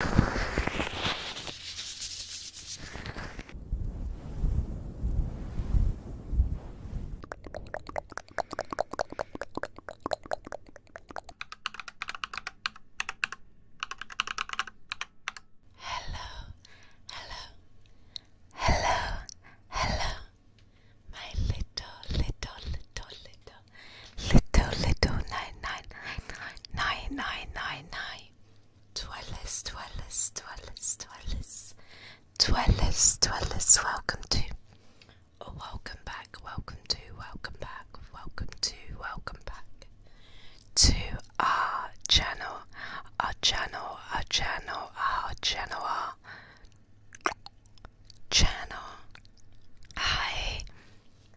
Hello, hello, hello, hello, my little, little, little, little little little nine nine nine nine nine nine Dwellers, dwellers, dwellers, dwellers, dwellers, dwellers, welcome to, or oh, welcome back, welcome to, welcome back, welcome to, welcome back to our channel, our channel, our channel, our channel, our channel. Hi,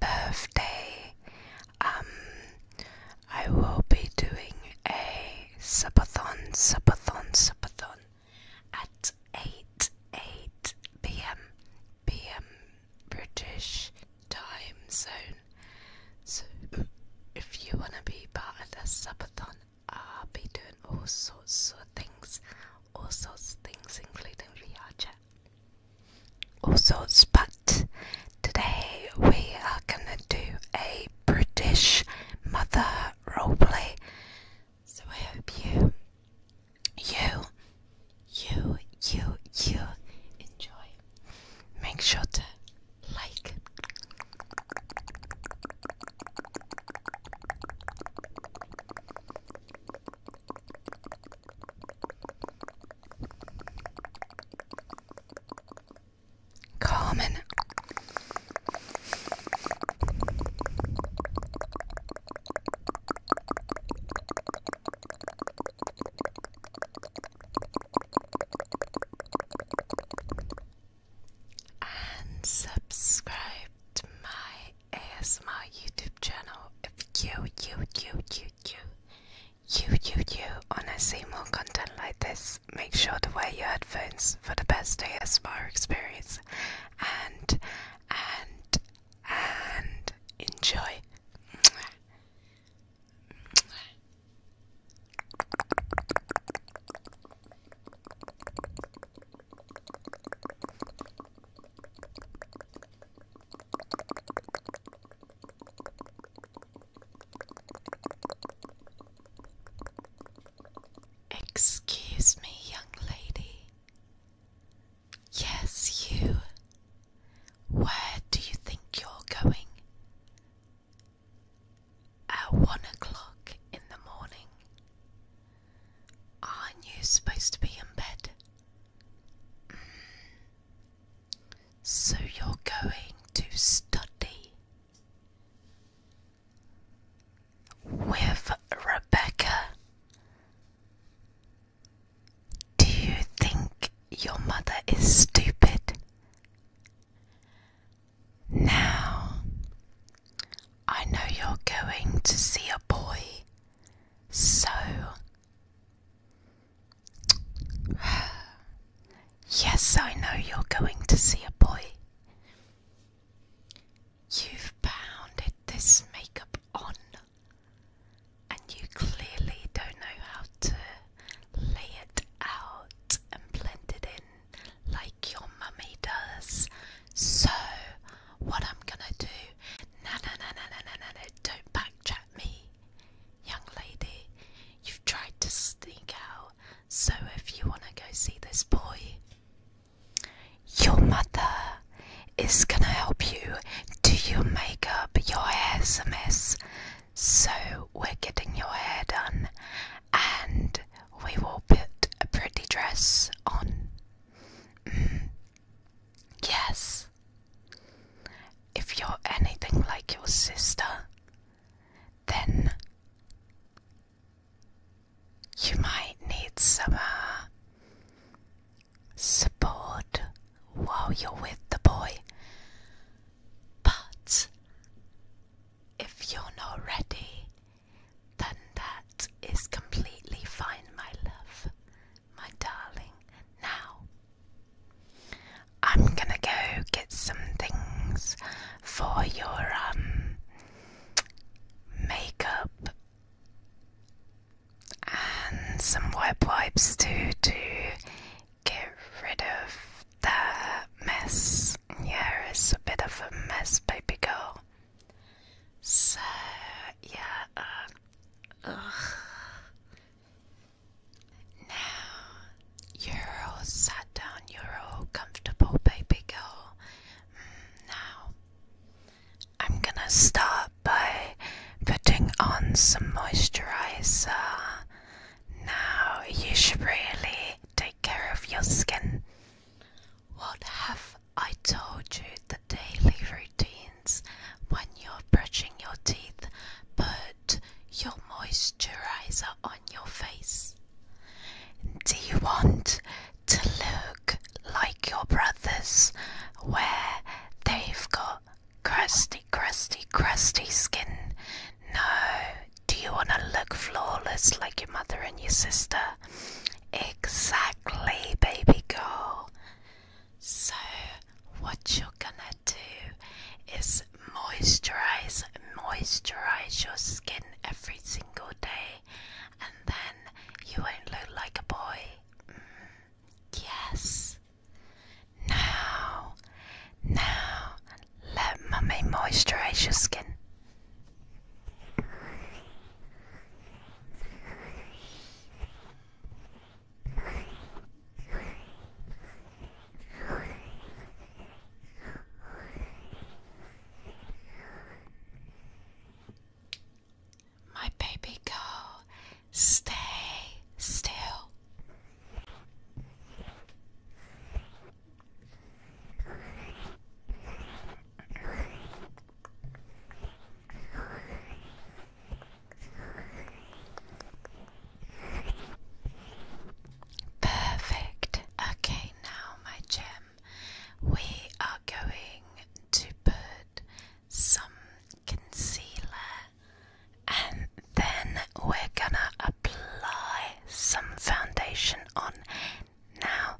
birthday, um, I will be doing a subathon, subathon, subathon at 8 8 p.m. p.m. British time zone. So, if you want to be part of this subathon, I'll be doing all sorts of things all sorts of things, including VR chat. All sorts, but today we are gonna do a British mother roleplay. So I hope you, you, you, you, you enjoy. Make sure to like. Carmen. And subscribe to my ASMR YouTube channel. If you, you, you, you, you, you, you, want to see more content like this, make sure to wear your headphones for the best ASMR experience. And, and, and enjoy. Excuse me, young lady. Yes, you. Where do you think you're going? At one o'clock in the morning. Aren't you supposed to be in bed? Mm. So you're going to study with Rebecca. Do you think your mother is stupid? Now, I know you're going to see a boy so, yes, I know you're going to see a boy. You've pounded this makeup on, and you clearly don't know how to lay it out and blend it in like your mummy does. So, what I'm gonna do Na na na na na na na don't backchat me. Young lady, you've tried to sneak out, so if you want to go see this boy, your mother is going to help you do your makeup, your hair's a mess, so we're getting your hair done and we will put a pretty dress on. yes. If you're anything like your sister, then you might need some uh, support while you're with the boy. But if you're not ready, then that is completely fine, my love, my darling. Now, I'm gonna go get some things for your um makeup and some wet wipes too to get rid of that mess. Yeah, it's a bit of a mess, baby girl. So yeah, um, now you're all sat down, you're all comfortable, baby girl. Mm, now I'm gonna start by putting on some moisturizer. Now you should really take care of your skin. What have I told you the daily routines when you're brushing your teeth? Put your moisturizer on your face. Do you want to look like your brothers where they've got crusty, crusty, crusty skin? No. Do you want to look flawless like your mother and your sister? Exactly, baby girl. So, what you're gonna do is moisturize, moisturize your skin every single day, and then you won't look like a boy. Mm, yes. Now, now, let mummy moisturize your skin. My baby girl, stay still. Perfect. Okay, now, my gem, we are going to put some concealer and then we're gonna apply some foundation on now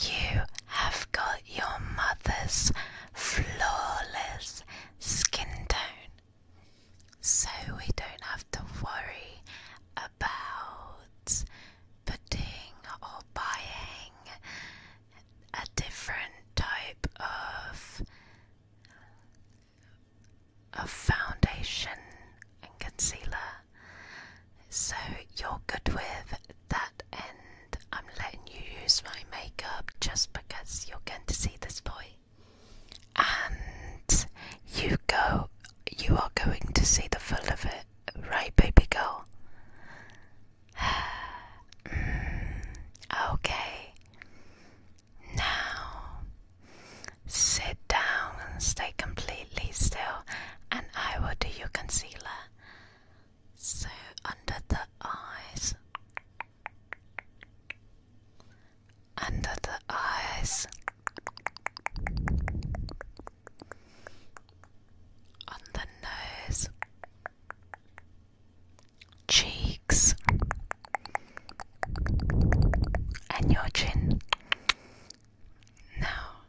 you have got your mother's flawless skin tone, so we don't have to worry about putting or buying a different type of. Of foundation and concealer. So you're good with that and I'm letting you use my makeup just because you're going to see this boy. And you go you are going to see the full of it, right baby girl? okay. Now sit down and stay completely still and I will do your concealer. So under the eyes, under the eyes, on the nose, cheeks, and your chin. Now,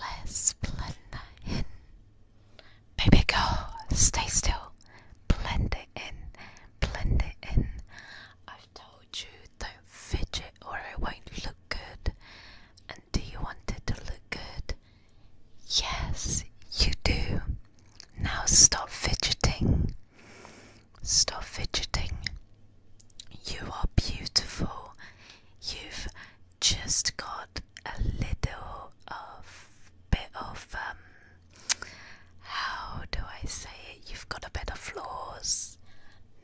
let's blend that in. Baby girl, stay still. Blend it in. Blend it in. I've told you don't fidget or it won't look good. And do you want it to look good? Yes, you do. Now stop fidgeting. Stop fidgeting. You are beautiful. You've just got a little of bit of um how do I say it? You've got a bit of flaws.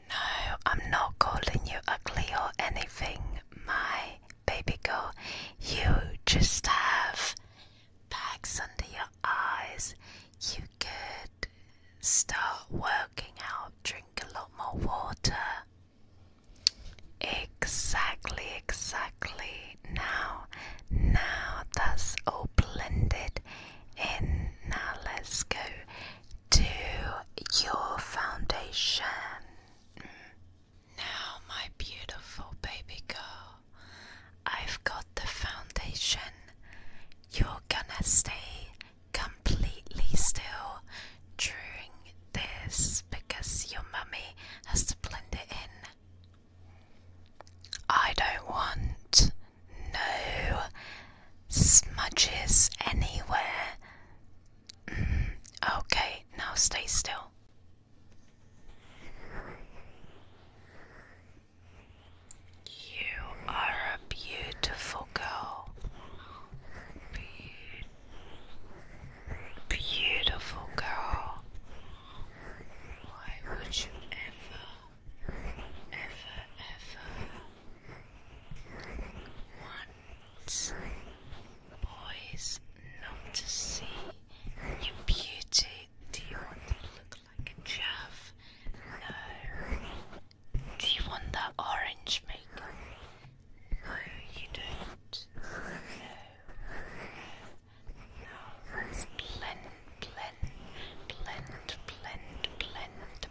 No, I'm not calling you ugly or anything, my baby girl. You just have bags under your eyes you could start working out, drink a lot more water. Exactly, exactly. Now, now that's all blended in. Now let's go to your foundation. Now, my beautiful baby girl, I've got the foundation. You're gonna stay completely still during this because your mummy has to blend it in. I don't want no smudges anywhere. Mm, okay, now stay still. You are a beautiful girl. beautiful girl. Why would you ever, ever, ever want boys not to see your beauty? Do you want to look like a chaff? No. Do you want that orange makeup? No, you don't. No. No. Let's blend, blend, blend, blend, blend,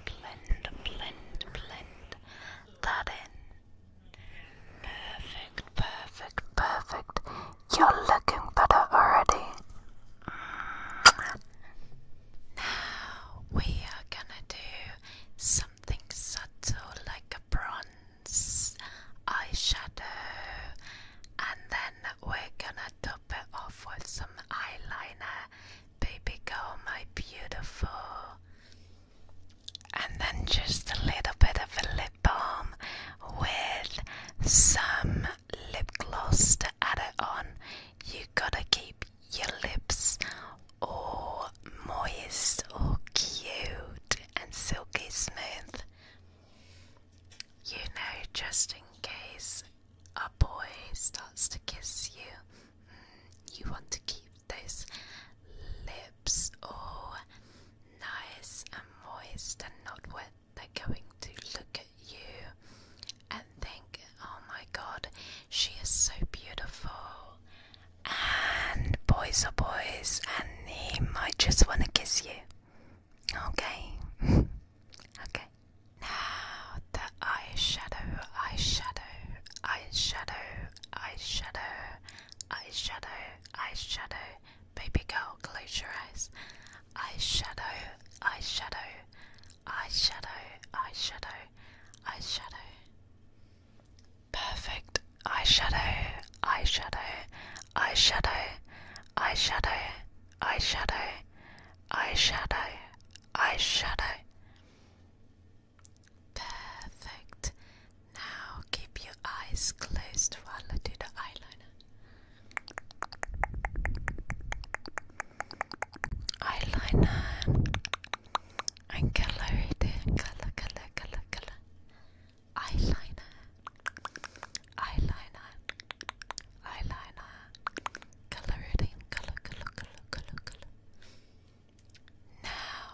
blend, blend, blend. That in. Perfect, perfect, perfect. You're looking better already. Now we are gonna do something subtle like a bronze eyeshadow, and then we're gonna top it off with some eyeliner. Baby girl, my beautiful. And then just a little bit of a lip balm with some lip gloss to add it on, you gotta keep your lips all moist all cute and silky smooth. You know, just in case a boy starts to kiss you, mm, you want to keep those lips all nice and moist and not wet they're going to look at you and think, oh my god, she is so beautiful. And boys are boys, and he might just want to kiss you. Okay? okay. Now, the eyeshadow, eyeshadow, eyeshadow, eyeshadow, eyeshadow, eyeshadow. Baby girl, close your eyes. Eyeshadow, eyeshadow, eyeshadow, eyeshadow, eyeshadow. Perfect eyeshadow, eyeshadow, eyeshadow, eyeshadow, eyeshadow, eyeshadow, eyeshadow. Perfect. Now keep your eyes closed while I do the eyeliner eyeliner and color it in color color color color eyeliner eyeliner eyeliner color it in color color color color color now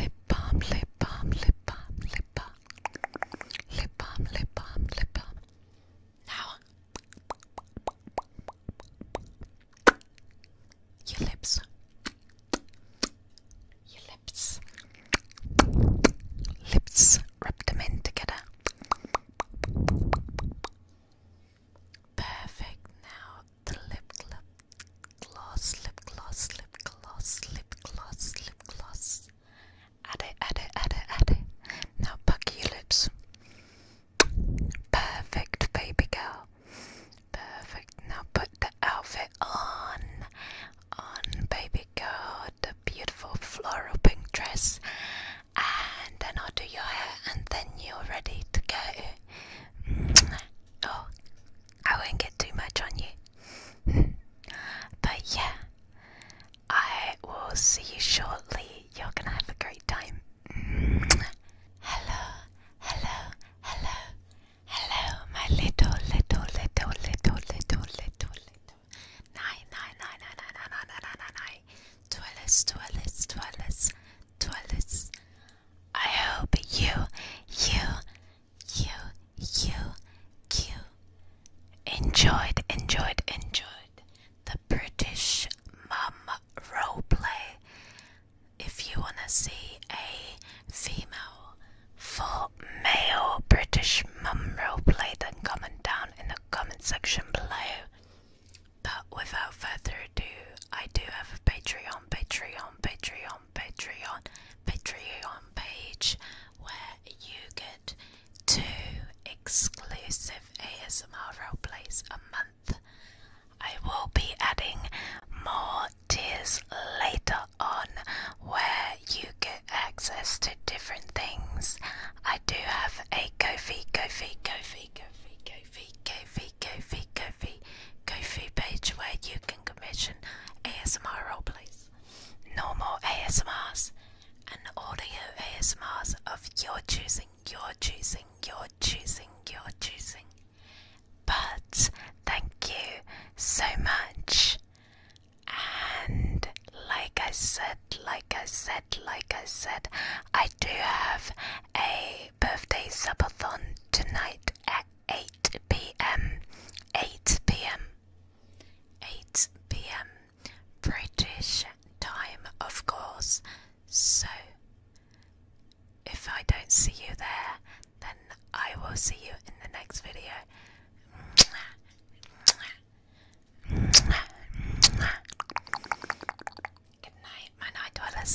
lip balm lip balm lip balm lip balm lip balm lip balm lip balm now, your lips, your lips, lips, rub them in together. Perfect. Now, the lip gloss, lip gloss, lip gloss, lip gloss, lip gloss. Addy, addy, addy, addy. Now puck your lips. Perfect, baby girl. Perfect. Now put the outfit on. On, baby girl. The beautiful floral pink dress. And then I'll do your hair, and then you're ready to go. Oh, I won't get too much on you. but yeah, I will see you shortly. You're gonna have a great time. Hello, hello, hello, hello, my little, little, little, little, little, little, little. Nine, nine, nine, nine, nine, nine, nine, nine, nine, nine. Twirlers, twirlers, twirlers, twirlers. I hope you, you, you, you, you, enjoyed, enjoyed, enjoyed the British mum roleplay. If you want to see a female for male British mum roleplay, then comment down in the comment section below. But without further ado, I do have a Patreon, Patreon, Patreon, Patreon, Patreon page where you get two exclusive ASMR roleplays a month. I will be adding more tiers later on where you get access to different things. I do have a Kofi, Kofi, Kofi, Kofi, Kofi, Kofi, Kofi, Kofi, Kofi page where you can commission ASMR roleplays. No more ASMs, and audio ASMs of your choosing, your choosing, your choosing, your choosing. But thank you so much. And like I said, like I said, like I said, I do have a birthday subathon tonight at 8 pm. 8 pm. 8 pm British time, of course. So, if I don't see you there, then I will see you in the next video. Good night, my night dwellers.